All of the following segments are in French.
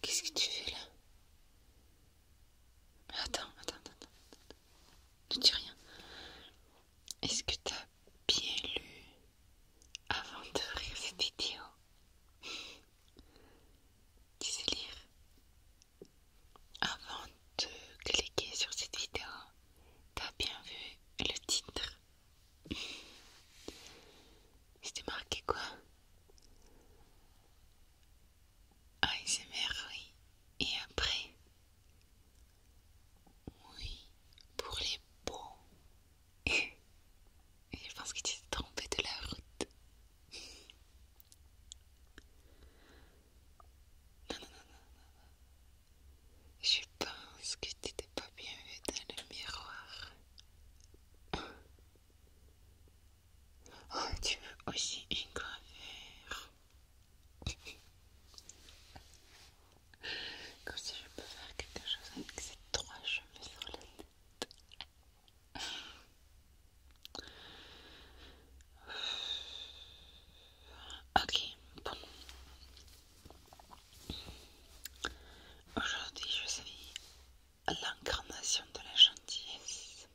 Qu'est-ce que tu fais là attends, attends, attends, attends. Ne dis rien. Est-ce que t'as bien lu avant de rire cette vidéo Tu sais lire avant de cliquer sur cette vidéo, t'as bien vu le titre. C'était marqué quoi ASMR, oui. Et après Oui, pour les beaux. Je pense que tu t'es trompé de la route. Non, non, non, Je pense que tu t'es pas bien vu dans le miroir. Oh, tu veux aussi une gravure? Comme si je peux faire quelque chose avec ces trois cheveux sur la tête. Ok, bon. Aujourd'hui, je suis l'incarnation de la gentillesse.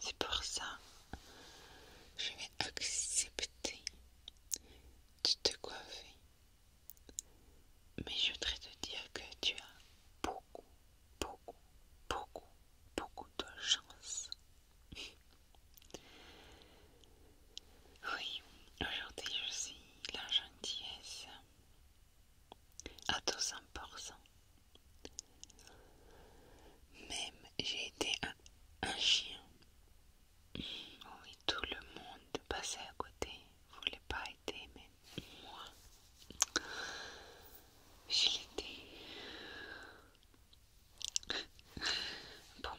C'est pour ça que je vais accepter de te coiffer. Mais je voudrais te dire que tu as beaucoup, beaucoup, beaucoup beaucoup de chance. oui, aujourd'hui je suis la gentillesse à 200%. Même j'ai été un, chien. Oui, tout le monde passait à côté, voulait pas aider, mais moi, je l'étais. Bon.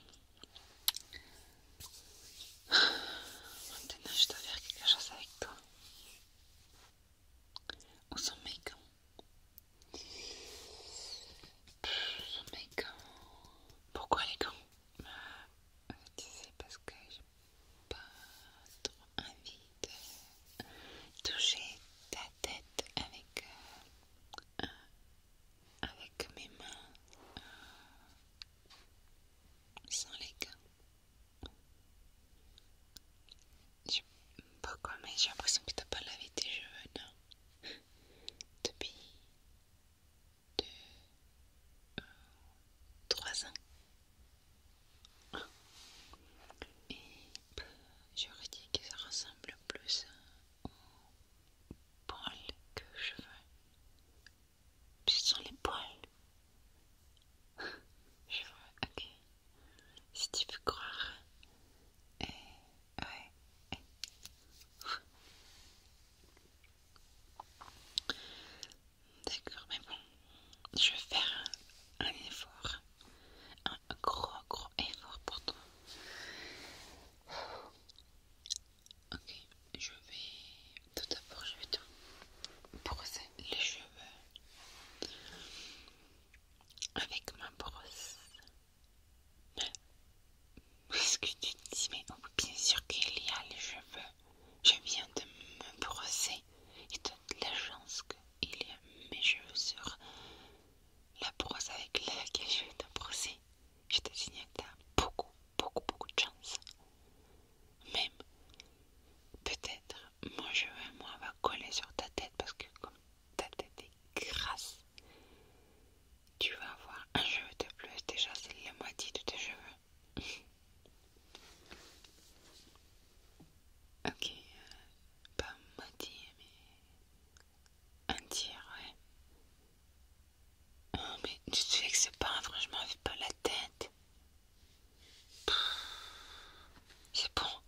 Maintenant, je dois faire quelque chose avec toi. Ou son make -on. make gants Pourquoi les gants C'est euh, Tu sais, parce que j'ai pas trop envie de toucher ta tête avec, euh, mes mains euh, sans les gants. Je, pourquoi mais j'ai l'impression que t'as pas lavé tes cheveux, Depuis deux, euh, trois ans. J'aurais dit que ça ressemble plus aux poils que aux cheveux. Ce sont les poils. Je vois, ok. Si tu peux croire. Et ouais. D'accord, mais bon, je vais faire un effort un gros gros effort pour toi. Ok, je vais tout d'abord je vais te brosser les cheveux avec ma brosse. Est-ce que tu dis mais bien sûr qu'il y a les cheveux Je viens de me brosser et de la chance que il y a mes cheveux sur la brosse avec laquelle je vais te brosser. Je te signale que tu beaucoup, beaucoup, beaucoup de chance. Même, peut-être, mon cheveu à moi va coller sur ta tête parce que comme ta tête est grasse, tu vas avoir un cheveu de plus. Déjà, c'est la moitié de tes cheveux. ok, euh, pas maudit, mais un tiers, ouais. Oh, mais tu te fais que c'est pas, m'en fais pas la tête. C'est bon.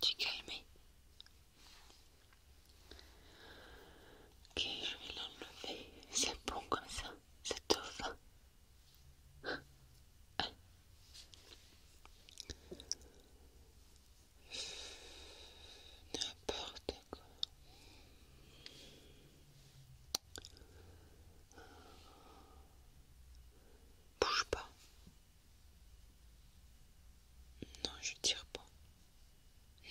Tu es calmé. Ok, je vais l'enlever. C'est bon comme ça. C'est te va. N'importe quoi. Bouge pas. Non, je tire pas.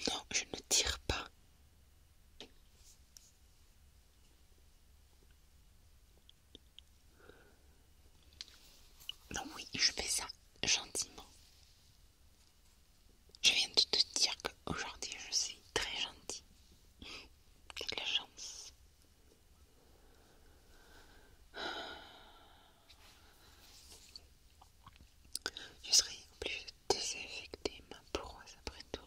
Non, je ne tire pas. Non oui, je fais ça gentiment. Je viens de te dire qu'aujourd'hui je suis très gentille. Quelle la chance. Je serai obligée de désinfecter ma proie après tout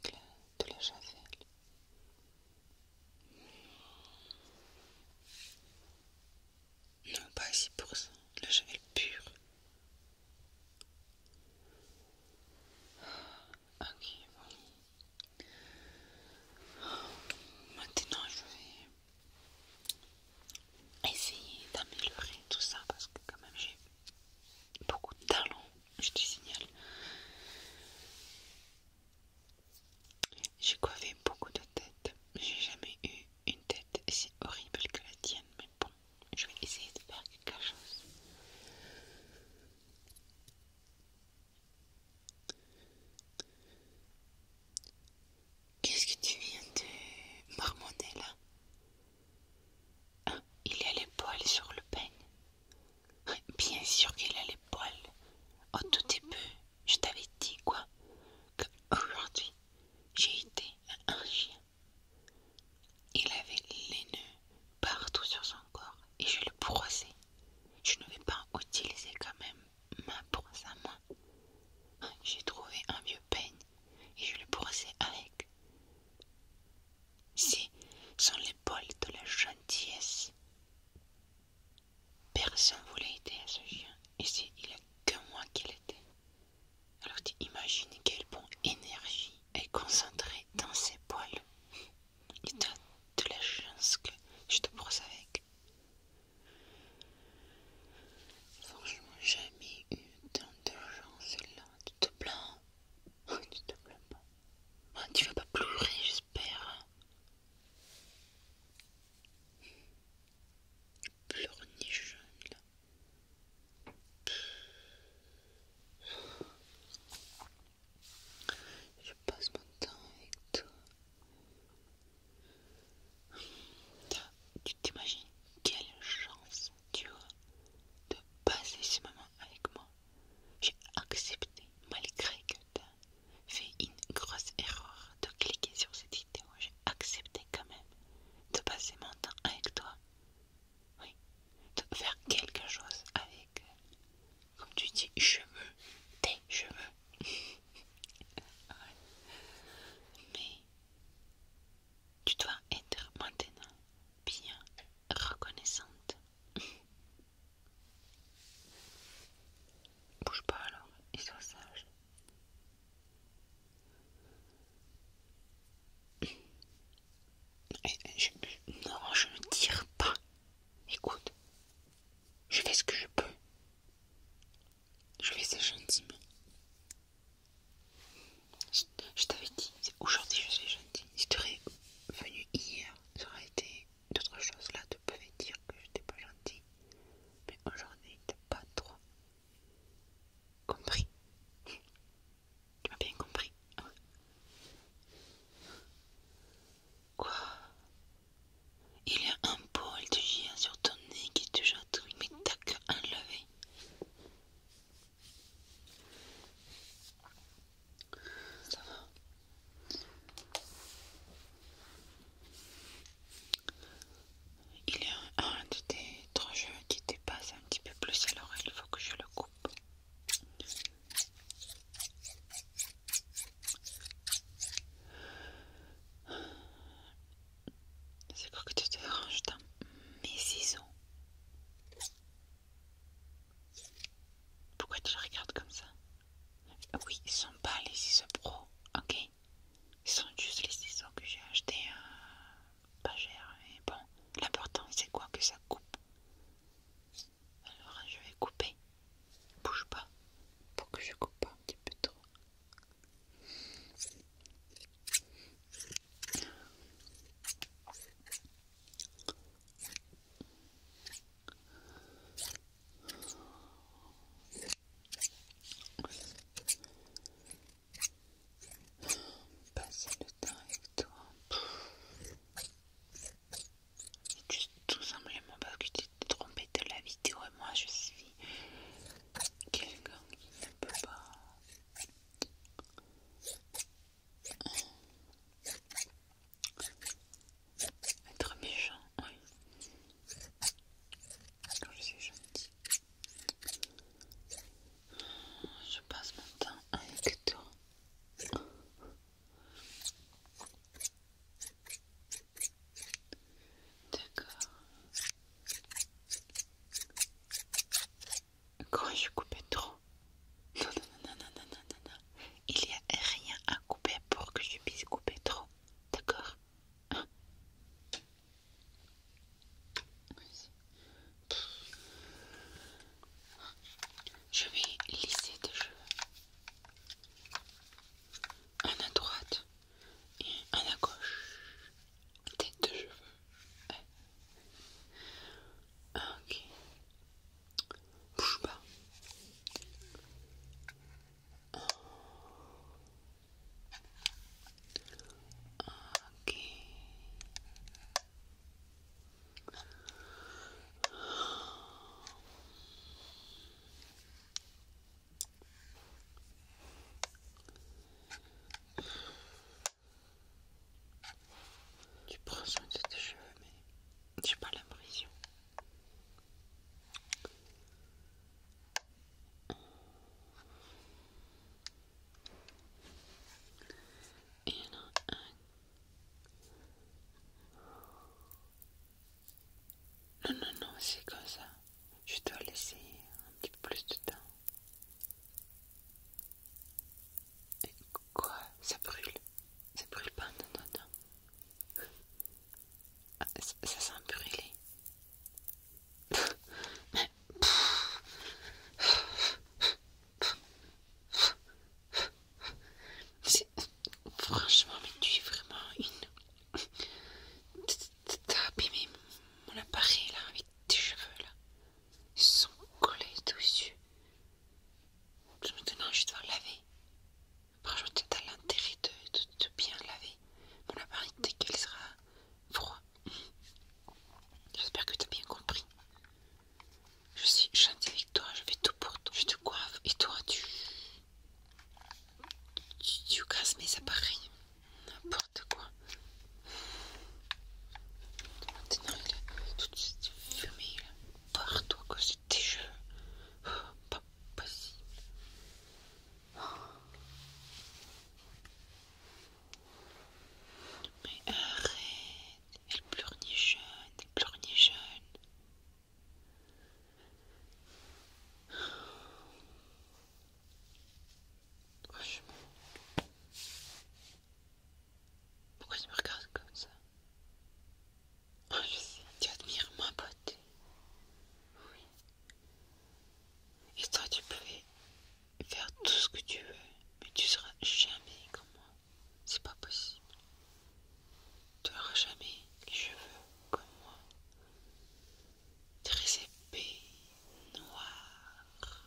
avec de la javel. Non, pas 6%, le pur. Ah, ok, bon. Ah, maintenant, je vais essayer d'améliorer tout ça parce que, quand même, j'ai beaucoup de talent, je te signale. J'ai coiffé beaucoup de têtes. J'ai jamais eu une tête si horrible que la tienne, mais bon, je vais essayer de faire quelque chose. Qu'est-ce que tu viens de marmonner là ah, il y a les poils sur le peigne. Bien sûr qu'il a les poils. Au oh, tout début, je t'avais dit quoi Que aujourd'hui, j'ai été à un chien. Il avait les nœuds partout sur son corps et je le brossais. Je ne vais pas utiliser quand même ma brosse à moi. J'ai trouvé un vieux peigne et je le brossais avec. Ici sont les poils de la gentillesse. Personne voulait aider à ce chien. Ici, il n'y a que moi qui était Alors tu imagines quelle bonne énergie est concentrée dans ces poils. Tu as de la chance que je te brosse avec. Franchement, jamais eu tant de gens là. Tu te plains. Tu te plains pas. Tu vas pas pleurer, j'espère. Pleurniche, là. Je passe mon temps avec toi. Tu t'imagines quelle chance tu as de passer ce moment avec moi. J'ai accepté malgré que tu as fait une grosse erreur de cliquer sur cette vidéo. J'ai accepté quand même de passer mon temps avec toi. Oui, de faire quelque chose avec, comme tu dis, cheveux, tes cheveux. Mais tu dois être maintenant bien reconnaissante Bouge pas alors et sois sage. non, je ne tire pas. Écoute, je fais ce que je peux. Je vais ça gentiment je t'avais dit, aujourd'hui je suis gentille. Si tu aurais venu hier, ça aurait été d'autres choses. Là, tu pouvais dire que je n'étais pas gentille. Mais aujourd'hui, tu n'as pas trop compris. Tu m'as bien compris. Quoi Il y a un pôle de chien sur ton nez qui te chatouille, mais t'as que enlevé il y a un de tes trois qui dépasse un petit peu plus, alors il faut que je le coupe. C'est quoi que tu te déranges dans mes ciseaux pourquoi tu regardes comme ça Oui, ils sont pas les ciseaux pro, ok ils sont juste les ciseaux que j'ai achetés euh, pas cher, mais bon, l'important c'est quoi que ça coupe. Alors je vais couper, bouge pas, pour que je coupe pas un petit peu trop. Passer le temps avec toi. Juste tout simplement parce que tu t'es trompé de la vidéo et moi je suis quelqu'un qui ne peut pas être méchant, oui. Quand je suis gentil Je passe mon temps avec toi. D'accord quand je coupe trop. Non, non, non, non, non, Il n'y a rien à couper pour que je puisse couper trop. D'accord hein? Je vais lisser tes cheveux. Un à droite et un à gauche tête de cheveux. Ah, ok. Bouge pas. Ok. Tu prends soin de tes cheveux, mais j'ai pas l'impression. Non, non, non, c'est comme ça. Je dois laisser un petit peu plus de temps quoi Ça brûle Ça brûle pas Non, non, ah, ça, sent brûler. Mais... Franchement, mais tu es vraiment une... T'as abîmé mon appareil là avec tes cheveux là. Ils sont collés dessus. Je me donne laver. Après, je peut à l'intérêt de, bien laver mon appareil dès qu'elle sera froid. J'espère que tu as bien compris. Je suis gentille avec toi, je fais tout pour toi. Je te coiffe et toi, tu. Tu, tu casses mes appareils. N'importe quoi. Maintenant, il a tout de suite fumé partout à cause de tes jeux. Oh, pas possible. Mais arrête, elle jeune elle jeune pourquoi tu me regardes comme ça Oh, je sais, tu admires ma beauté. Oui. Et toi, tu peux faire tout ce que tu veux, mais tu seras jamais comme moi. C'est pas possible. Tu n'auras jamais les cheveux comme moi. Très épais, noirs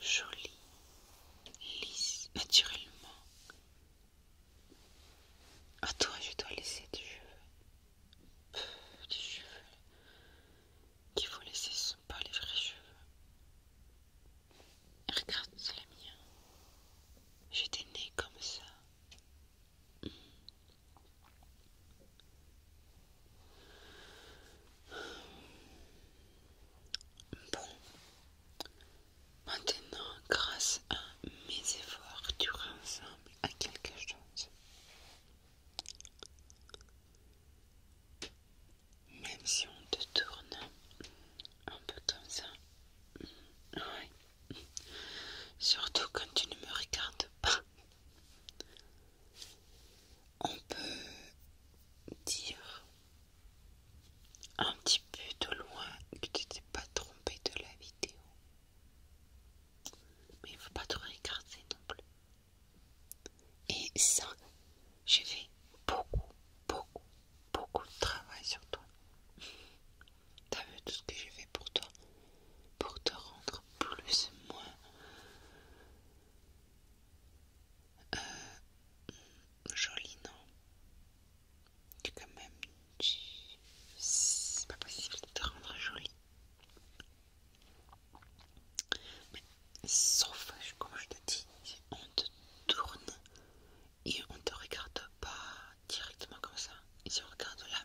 jolie, lisse, naturellement. À toi, je dois laisser des cheveux. des cheveux qui vous laisser ce sont pas les vrais cheveux. Regarde les miens. J'étais née comme ça. Bon, maintenant, grâce à mes efforts, tu ressembles à quelque chose. Même si on te tourne un peu comme ça. Surtout quand tu ne me regardes pas on peut dire un petit peu de loin que tu t'es pas trompé de la vidéo. Mais il faut pas trop regarder non plus. Et ça, j'ai fait beaucoup, beaucoup, beaucoup de travail sur toi. T'as vu tout ce que j'ai fait pour toi, pour te rendre plus, moins euh, jolie, non Tu quand même... C'est pas possible de te rendre jolie. sauf, comme je te dis, on te tourne et on te regarde pas directement comme ça. Et si on regarde là,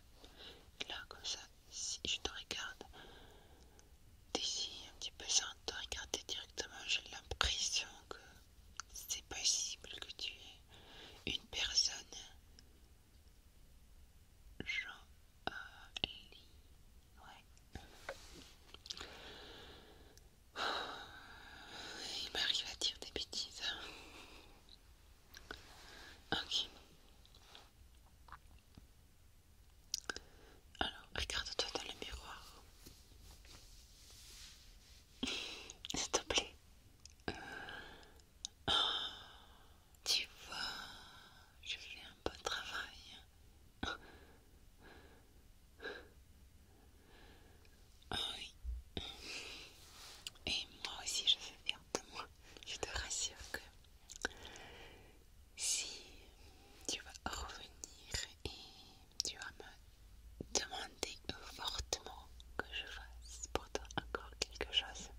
là comme ça, si je te regarde d'ici un petit peu sans te regarder directement, j'ai l'impression que c'est possible que tu es une personne jolie. Euh, ouais. Il m'arrive à dire des bêtises. Hein. Ok. Alors, regarde-toi dans le miroir. S'il te plaît. Oh, tu vois, je fais un bon travail. oui. Et moi aussi, je fais bien moi. Je te rassure que si tu vas revenir et tu vas me demander fortement que je fasse pour toi encore quelque chose,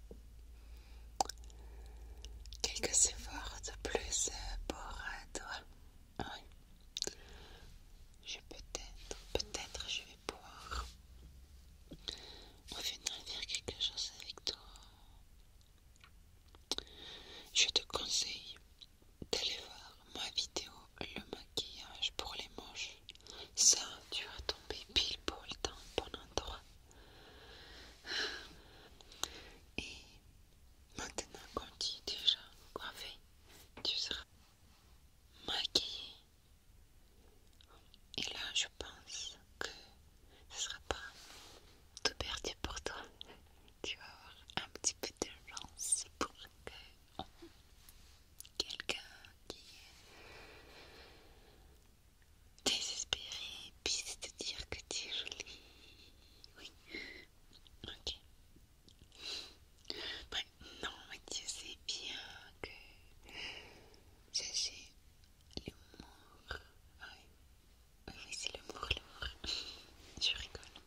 quelque effort de plus pour toi. Je peut-être, peut-être je vais pouvoir revenir faire quelque chose avec toi je te conseille d'aller voir ma vidéo Le maquillage pour les manches. Ça, tu vas tomber pile pour le temps, bon endroit. Et maintenant, quand tu es déjà coiffé, tu seras maquillé et là, je pense que ce sera pas tout perdu pour toi. Tu vas avoir un petit peu de chance pour que quelqu'un qui est désespéré puisse te dire que tu es jolie. Oui, ok. Non mais tu sais bien que j'ai L'humour. Ah oui, oui, c'est l'humour, l'humour. Je rigole.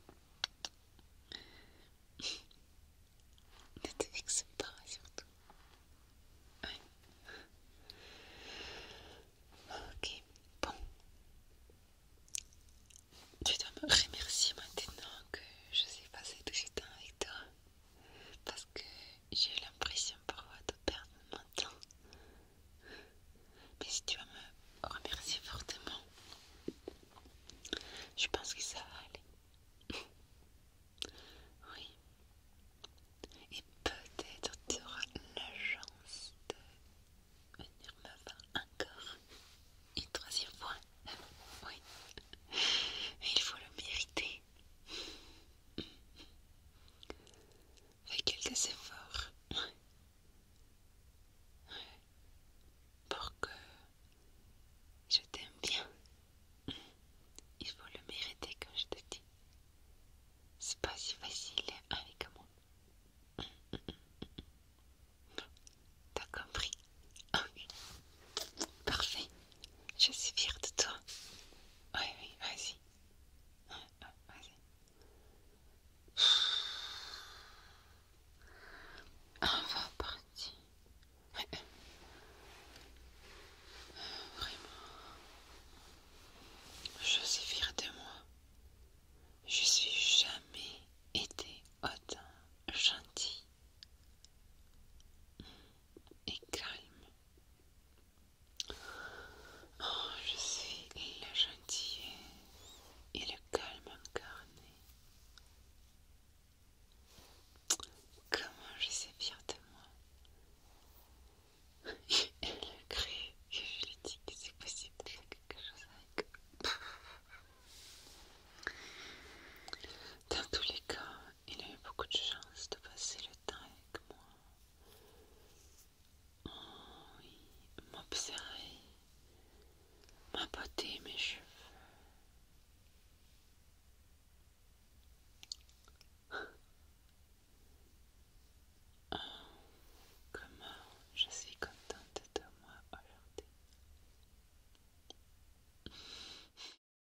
Ne fixe pas surtout. Oui. Ok, bon. Tu dois me remercier maintenant que je sais passé tout ce temps avec toi parce que j'ai l'impression parfois de perdre mon temps. Mais si tu vas me remercier fortement, je pense que ça va aller. Oui. Et peut-être tu auras la chance de venir me voir encore une troisième fois. Oui. Mais il faut le mériter. Fais quelques efforts. Pour que je t'aime bien. Il faut le mériter comme je te dis. C'est pas si facile hein, avec moi. T'as compris? Parfait. Je suis fière de toi. Oui, oui, vas-y. vas-y. On va partir. Vraiment. Je suis fière de moi. Je suis jamais été autant gentille et calme. Oh, je suis le gentil et le calme incarné. Comment je sais bien de moi Elle le crée et je lui dis que c'est possible de faire quelque chose avec. Dans tous les cas, il a eu beaucoup de chance de passer le temps avec moi. Oh oui, m'observer, m'aboter mes cheveux. Oh, comment je suis contente de moi aujourd'hui.